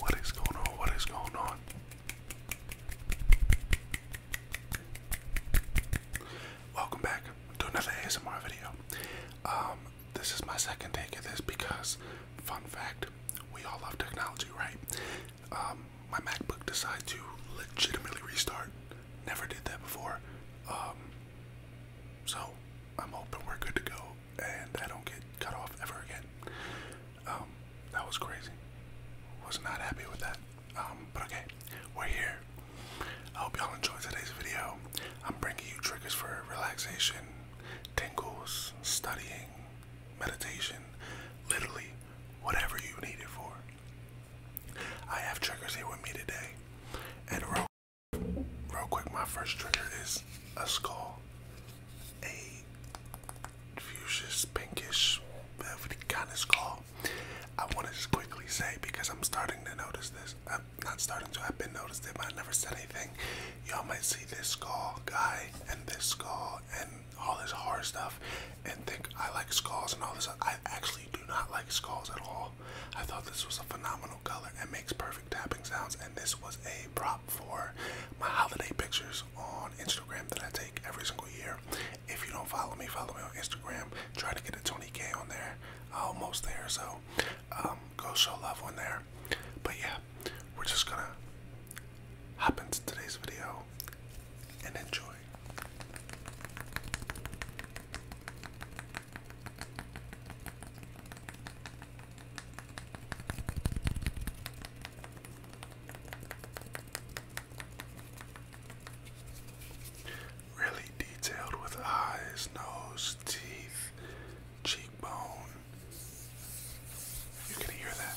What is going on? What is going on? Welcome back to another ASMR video. Um, this is my second take of this because, fun fact, we all love technology, right? Um, my MacBook decided to legitimately restart. Never did that before. Um, so I'm hoping we're good to go and I don't get cut off ever again. Um, that was crazy. Was not happy with that. Um, but okay, we're here. I hope y'all enjoyed today's video. I'm bringing you triggers for relaxation, tingles, studying, meditation, literally whatever you need it for. I have triggers here with me today, and real, real quick, my first trigger is a skull a fuchsia pinkish velvety kind of skull. I want to just quickly say because I'm starting to notice this. I'm not starting to. I've been noticed it, but I never said anything. Y'all might see this skull guy and this skull and all this horror stuff and think I like skulls and all this. I actually do not like skulls at all. I thought this was a phenomenal color. It makes perfect tapping sounds, and this was a prop for my holiday pictures on Instagram that I take every single year. If you don't follow me, follow me on Instagram. Trying to get a 20k on there. almost there, so um, go show love on there. But yeah, we're just gonna hop into today's video and enjoy. Really detailed with eyes, nose, teeth, cheekbone. You can hear that.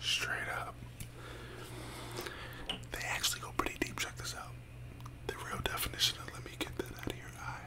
Straight up. They actually go pretty deep. Check this out. The real definition of let me get that out of your eye.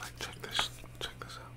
Like check this, check this out.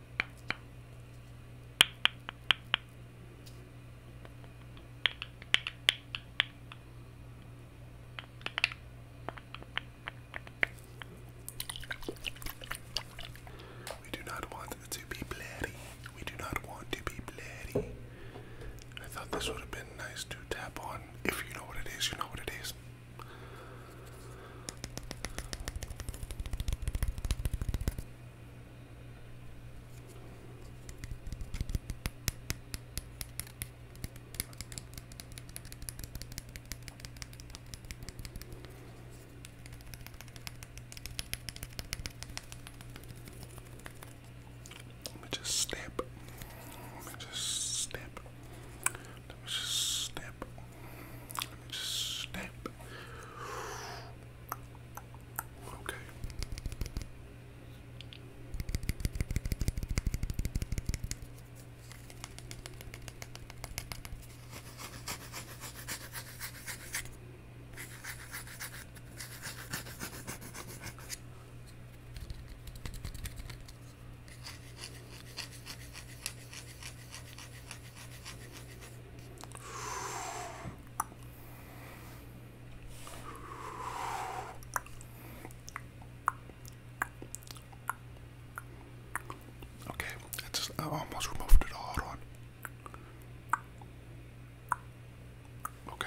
We do not want to be bloody. We do not want to be bloody. I thought this would have been nice to tap on. If you know what it is, you know what it is. Let me just snap. Let me just snap. Let me just snip. just snip. Okay. Okay, it's, I almost removed it all. Hold on. Okay.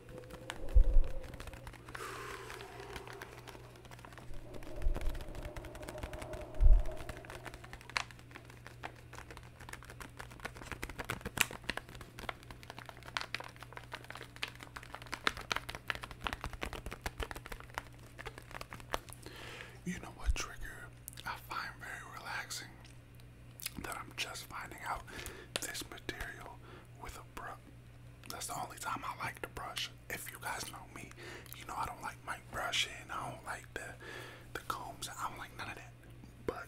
You know what trigger I find very relaxing that I'm just finding out this material with a bruh. That's the only time I like to brush. If you guys know me, you know I don't like my brushing. I don't like the the combs. I don't like none of that. But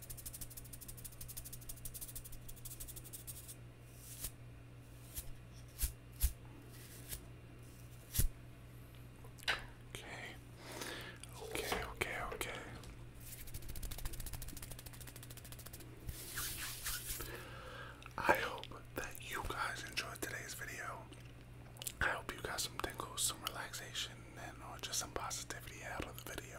Okay. Okay, okay, okay. I hope that you guys enjoyed today's video. I hope you got some tingles, some relaxation, and or just some positivity out of the video.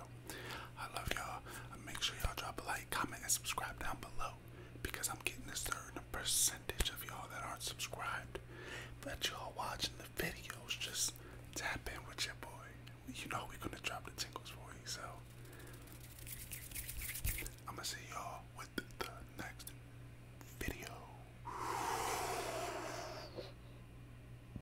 I love y'all. Make sure y'all drop a like, comment, and subscribe down below because I'm getting a certain percentage of y'all that aren't subscribed. But y'all watching the videos, just tap in with your boy. You know we're gonna drop the tingles for you, so I'm gonna see y'all with the next video.